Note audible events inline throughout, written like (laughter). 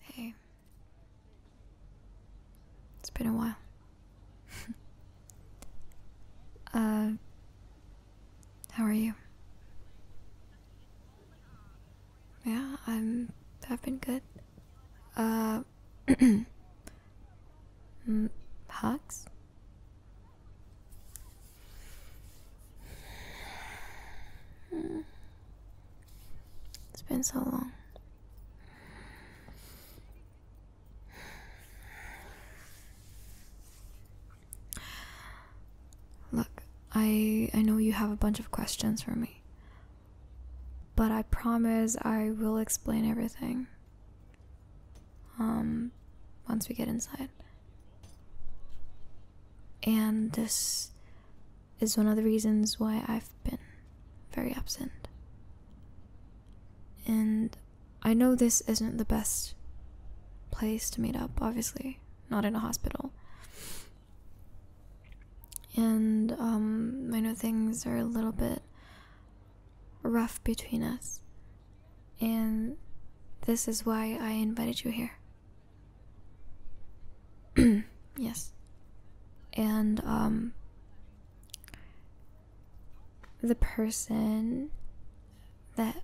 Hey. It's been a while. (laughs) uh, how are you? Yeah, I'm. I've been good. Uh, (clears throat) mm, hugs? Mm, it's been so long. Look, I I know you have a bunch of questions for me. But I promise I will explain everything. Um once we get inside. And this is one of the reasons why I've been very absent. And I know this isn't the best place to meet up, obviously, not in a hospital. And um, I know things are a little bit rough between us. And this is why I invited you here. (clears throat) yes. And um, the person that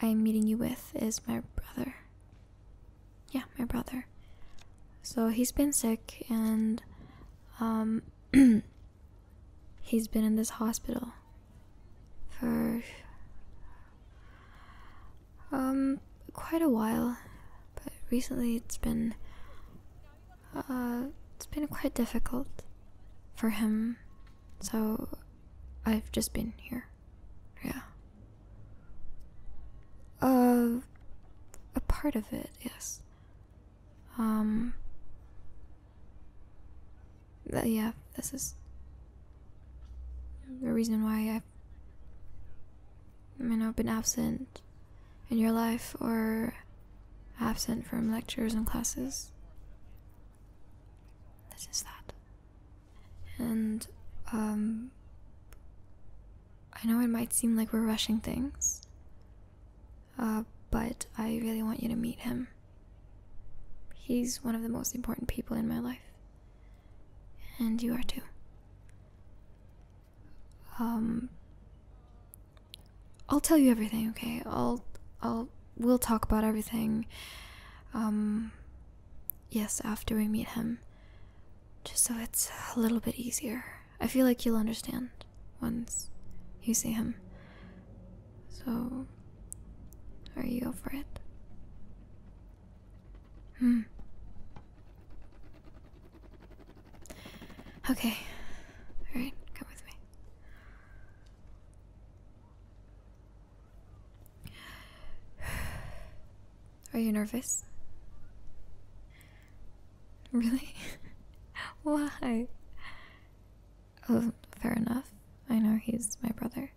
I'm meeting you with is my brother. Yeah, my brother. So he's been sick and um, (clears throat) he's been in this hospital for um, quite a while, but recently it's been, uh, it's been quite difficult for him, so I've just been here. Yeah. Um, a part of it, yes. Um, yeah, this is the reason why i may not know, been absent in your life or absent from lectures and classes. This is that. And, um, I know it might seem like we're rushing things, uh, but I really want you to meet him. He's one of the most important people in my life. And you are too. Um I'll tell you everything, okay? I'll I'll we'll talk about everything. Um yes, after we meet him. Just so it's a little bit easier. I feel like you'll understand once you see him. So, are you over it? Hmm. Okay. All right, come with me. Are you nervous? Really? (laughs) Why? Oh, fair enough. I know he's my brother.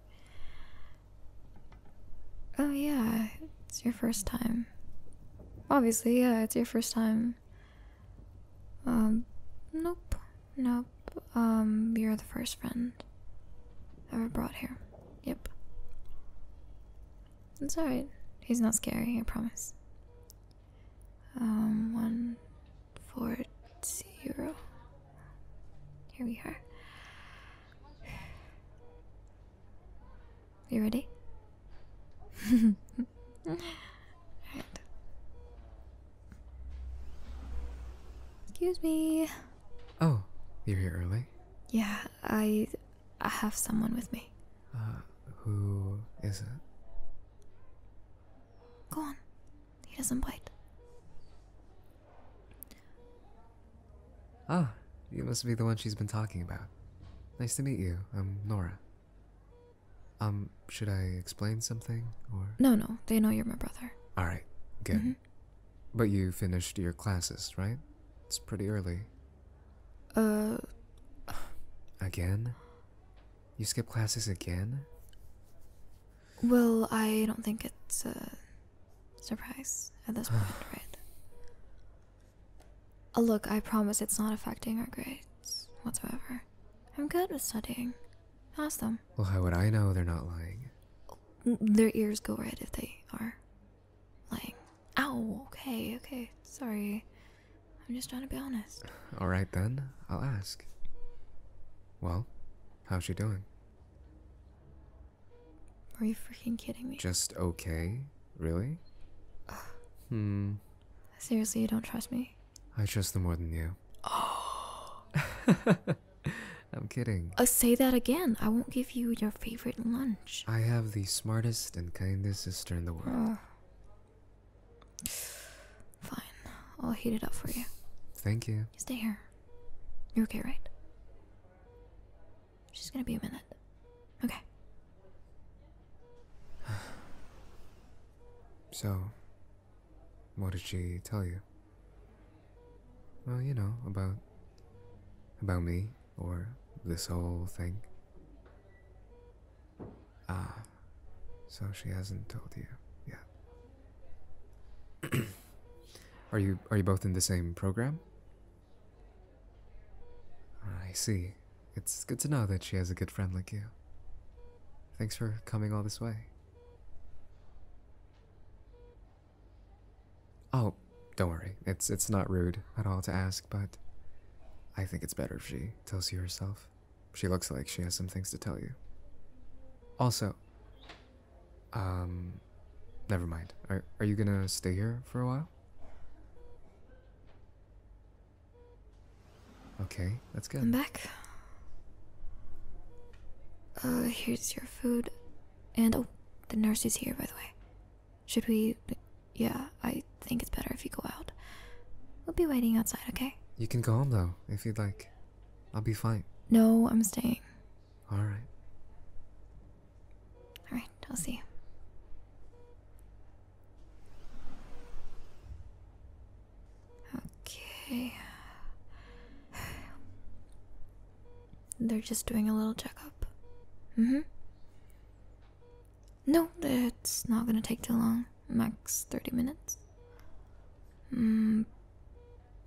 Oh, yeah, it's your first time. Obviously, yeah, it's your first time. Um, nope, nope. Um, you're the first friend ever brought here. Yep. It's alright. He's not scary, I promise. Um, one, four, zero. Here we are. You ready? Excuse me. Oh, you're here early? Yeah, I, have someone with me. Uh, who is it? Go on. He doesn't bite. Ah, you must be the one she's been talking about. Nice to meet you. I'm Nora. Um, should I explain something or? No, no. They know you're my brother. All right, good. Mm-hmm. But you finished your classes, right? It's pretty early. Uh. Again? You skip classes again? Well, I don't think it's uh, surprise at this point, (sighs) right? Oh, look, I promise it's not affecting our grades whatsoever. I'm good with studying. Ask them. Well, how would I know they're not lying? Their ears go red if they are lying. Ow, okay, okay, sorry. I'm just trying to be honest. (sighs) Alright then, I'll ask. Well, how's she doing? Are you freaking kidding me? Just okay? Really? hmm. Seriously, you don't trust me? I trust him more than you. Oh. (laughs) I'm kidding. Uh, say that again. I won't give you your favorite lunch. I have the smartest and kindest sister in the world. fine. I'll heat it up for you. Thank you stay here. You're okay, right? She's gonna be a minute. Okay. (sighs) So, what did she tell you? Well, you know, about. about me, or this whole thing. Ah, so she hasn't told you yet. (clears throat) are you are you both in the same program? I see. It's good to know that she has a good friend like you. Thanks for coming all this way. Oh, don't worry. It's it's not rude at all to ask, but I think it's better if she tells you herself. She looks like she has some things to tell you. Also, um, never mind. Are, are you gonna stay here for a while? Okay, that's good. I'm back. Uh, here's your food. And oh, the nurse is here, by the way. Should we? Yeah, I think it's better if you go out. We'll be waiting outside, okay? You can go home though, if you'd like. I'll be fine. No, I'm staying. All right. All right, I'll see you. Okay. (sighs) They're just doing a little checkup. Mm-hmm. No, it's not gonna take too long. Max 30 minutes. Mm,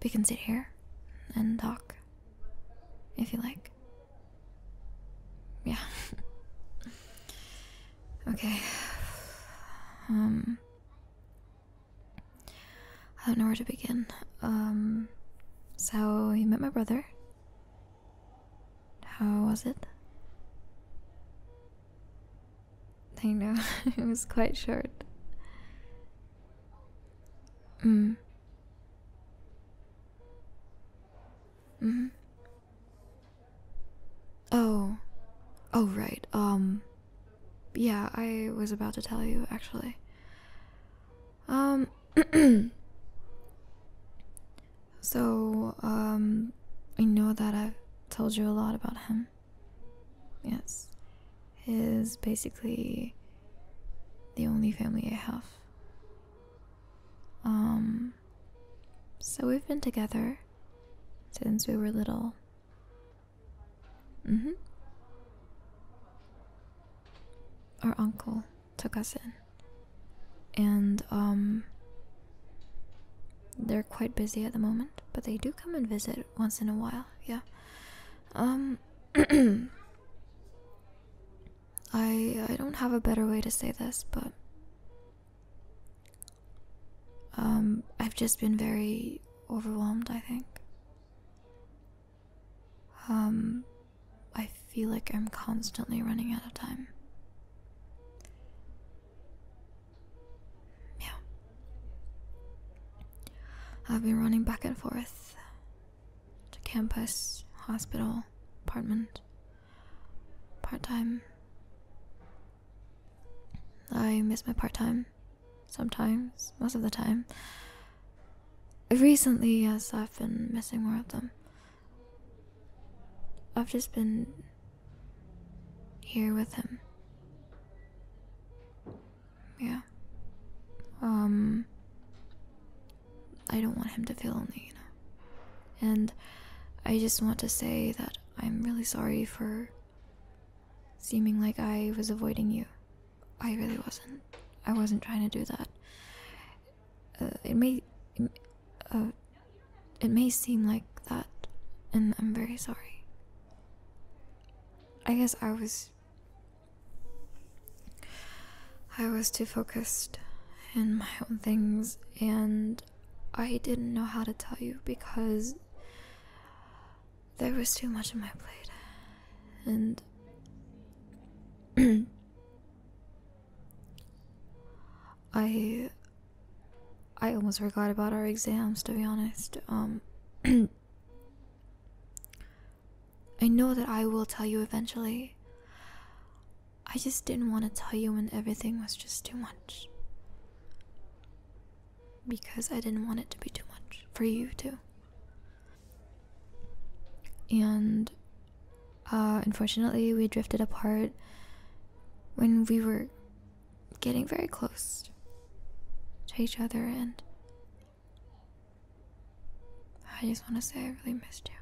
we can sit here and talk if you like. Yeah. okay. Um I don't know where to begin. Um so you met my brother. How was it? I know, (laughs) it was quite short. Mm. Mm hmm. Oh. Oh, right. Um. Yeah, I was about to tell you, actually. Um. (clears throat) so, um. I know that I've told you a lot about him. Yes. he's basically the only family I have. Um, so we've been together since we were little. Mm-hmm. Our uncle took us in. And, um, they're quite busy at the moment, but they do come and visit once in a while, yeah. Um, (clears throat) (coughs) I I don't have a better way to say this, but um I've just been very overwhelmed, I think. Um I feel like I'm constantly running out of time. Yeah. I've been running back and forth to campus, hospital, apartment, part time. I miss my part time sometimes, most of the time. Recently, yes, I've been missing more of them. I've just been here with him. Yeah. Um I don't want him to feel lonely, you know. And I just want to say that I'm really sorry for seeming like I was avoiding you. I really wasn't. I wasn't trying to do that. Uh, it may, uh, it may seem like that, and I'm very sorry. I guess I was I was too focused in my own things, and I didn't know how to tell you because there was too much on my plate, and (clears throat) I I almost forgot about our exams to be honest. Um (clears throat) I know that I will tell you eventually. I just didn't want to tell you when everything was just too much. Because I didn't want it to be too much for you, too. And uh, unfortunately, we drifted apart when we were getting very close to each other, and I just want to say I really missed you.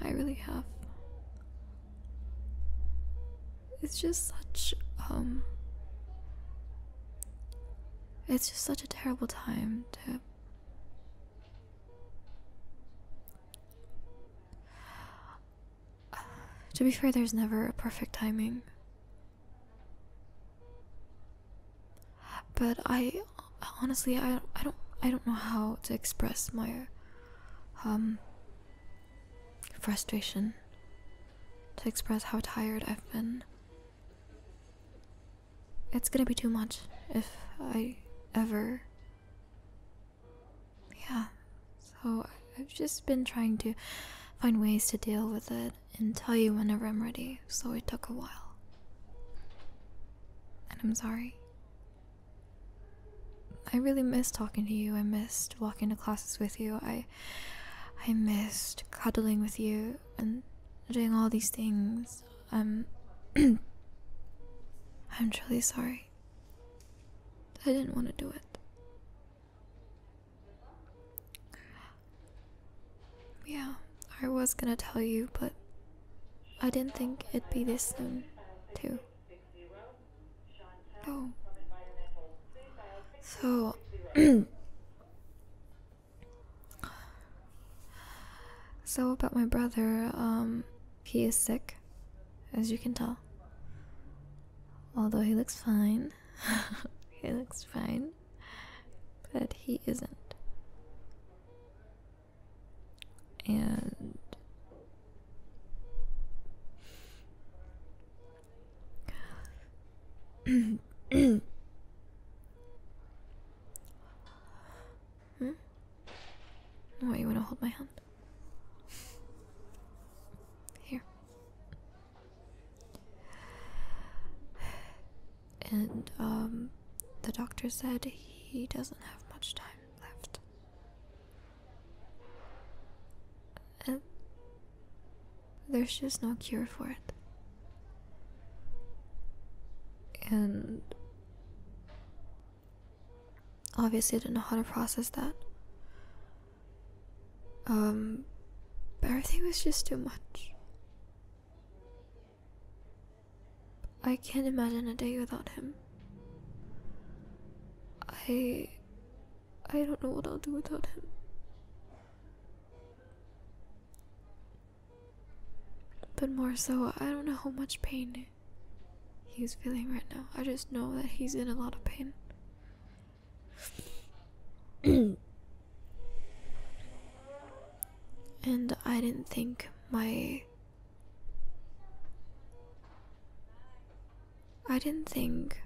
I really have. It's just such, um, it's just such a terrible time to. (sighs) To be fair, there's never a perfect timing but I honestly I I don't I don't know how to express my um frustration to express how tired I've been. It's going to be too much if I ever yeah. So I've just been trying to find ways to deal with it and tell you whenever I'm ready, so it took a while. And I'm sorry. I really missed talking to you. I missed walking to classes with you. I I missed cuddling with you and doing all these things. I'm, um, (clears throat) I'm truly sorry. I didn't want to do it. Yeah, I was gonna tell you, but I didn't think it'd be this soon, too. Oh. So. (clears throat) so, about my brother, um, he is sick, as you can tell. Although he looks fine. (laughs) he looks fine but he isn't. And hmm? you want to hold my hand? Here. And um, the doctor said he doesn't have much time left. And there's just no cure for it. And obviously, I didn't know how to process that. Um, but everything was just too much. I can't imagine a day without him. I. I don't know what I'll do without him. But more so, I don't know how much pain he's feeling right now. I just know that he's in a lot of pain. (clears throat) And I didn't think my. I didn't think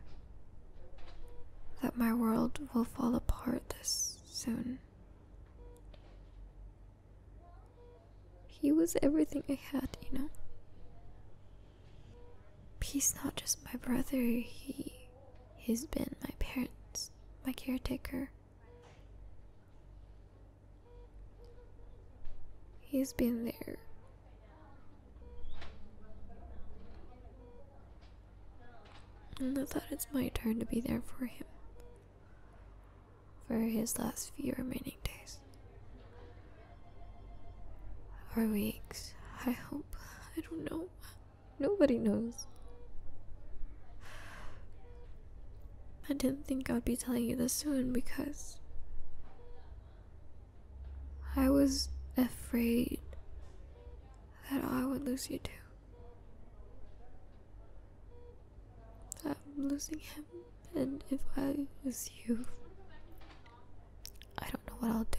that my world will fall apart this soon. He was everything I had, you know? He's not just my brother, he. He's been my parents, my caretaker, He's been there. And I thought it's my turn to be there for him for his last few remaining days. Or weeks, I hope. I don't know. Nobody knows. I didn't think I'd be telling you this soon because I was afraid that I would lose you too. I'm losing him, and if I was you, I don't know what I'll do.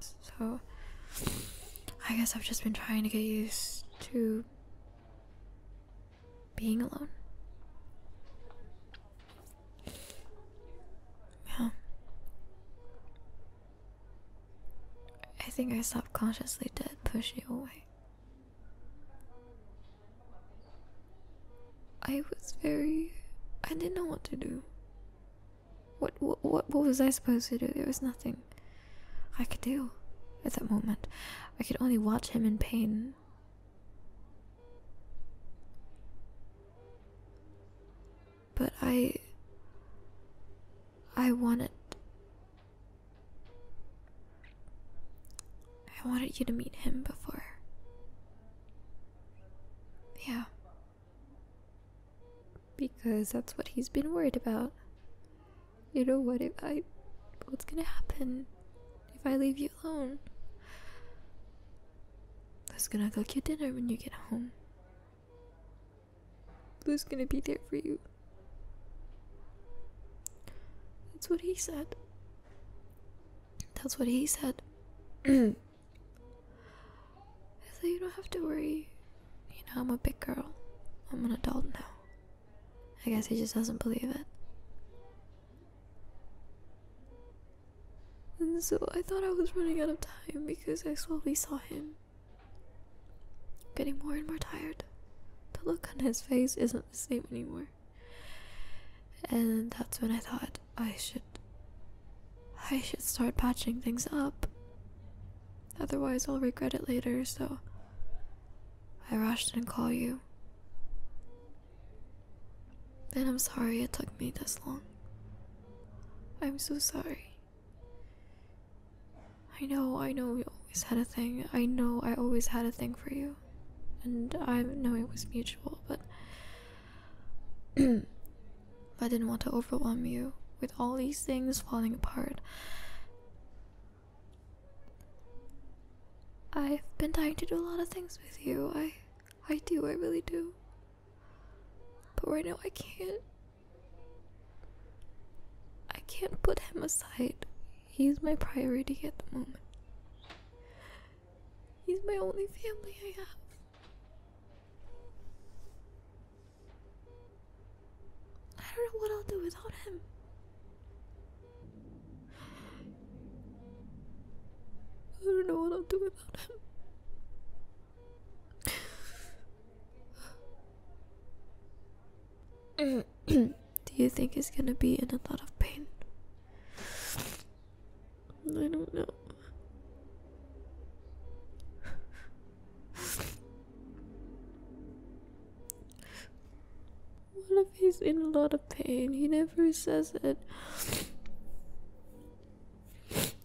So, I guess I've just been trying to get used to being alone. Yeah. I think I subconsciously did push you away. I was very. I didn't know what to do. What, what, what, was I supposed to do? There was nothing I could do at that moment. I could only watch him in pain. But I. I wanted. I wanted you to meet him before. Yeah. Because that's what he's been worried about. You know what if I what's gonna happen if I leave you alone? Who's gonna cook your dinner when you get home? Who's gonna be there for you? That's what he said. That's what he said. (clears throat) So you don't have to worry. You know, I'm a big girl. I'm an adult now. I guess he just doesn't believe it. And so I thought I was running out of time because I slowly saw him getting more and more tired. The look on his face isn't the same anymore. And that's when I thought I should I should start patching things up. Otherwise, I'll regret it later, so I rushed and called you. Then I'm sorry it took me this long. I'm so sorry. I know, I know we always had a thing. I know I always had a thing for you. And I know it was mutual, but (clears throat) I didn't want to overwhelm you with all these things falling apart. I've been dying to do a lot of things with you. I I do, I really do. But right now I can't I can't put him aside. He's my priority at the moment. He's my only family I have. I don't know what I'll do without him. I don't know what I'll do without him. (clears throat) do you think he's gonna be in a lot of pain? I don't know what if he's in a lot of pain? He never says it.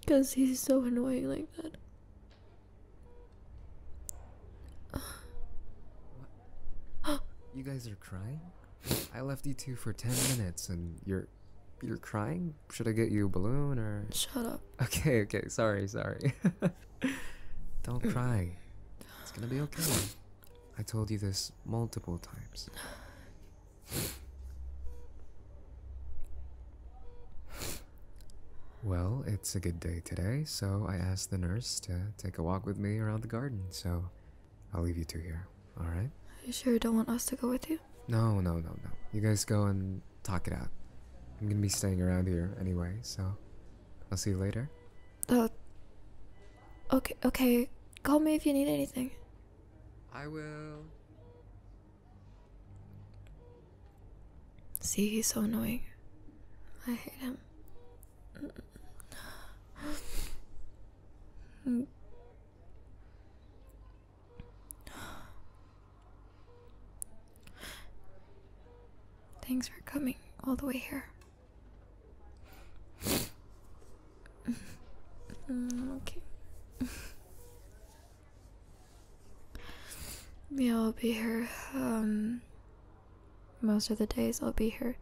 Because he's so annoying like that. You guys are crying? I left you two for 10 minutes and you're. You're crying? Should I get you a balloon or? Shut up. (laughs) Okay, okay. Sorry, sorry. (laughs) Don't mm. cry. It's gonna be okay. I told you this multiple times. Well, it's a good day today, so I asked the nurse to take a walk with me around the garden, so I'll leave you two here, alright? You sure you don't want us to go with you? No, no, no, no. You guys go and talk it out. I'm gonna be staying around here anyway, so I'll see you later. Uh, okay, okay. Call me if you need anything. I will. See, he's so annoying. I hate him. (gasps) Thanks for coming all the way here. (laughs) Mm, okay. (laughs) yeah, I'll be here. Um, most of the days I'll be here.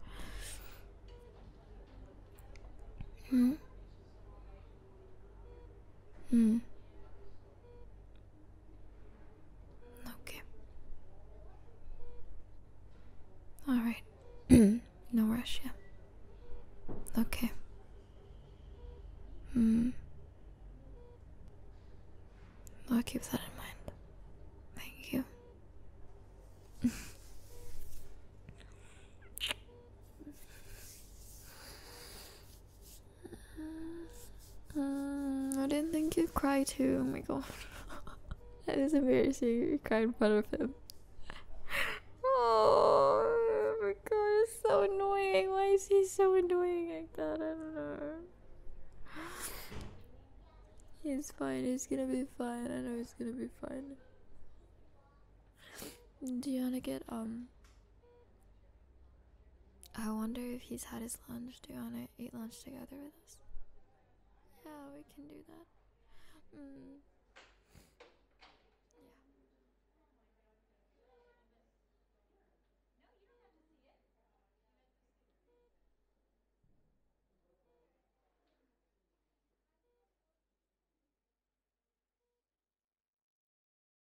Hmm. Hmm. Okay. Alright. (clears throat) no rush, yeah. Okay. Hmm. I'll keep that in mind. Thank you. (laughs) Mm, I didn't think you'd cry too. Oh my god. (laughs) that is embarrassing. You cried in front of him. (laughs) oh my god, it's so annoying. Why is he so annoying like that? I don't know. (sighs) He's fine. He's gonna be fine. I know he's gonna be fine. Do you wanna get, um, I wonder if he's had his lunch. Do you want to eat lunch together with us? Yeah, we can do that. Yeah. Mm.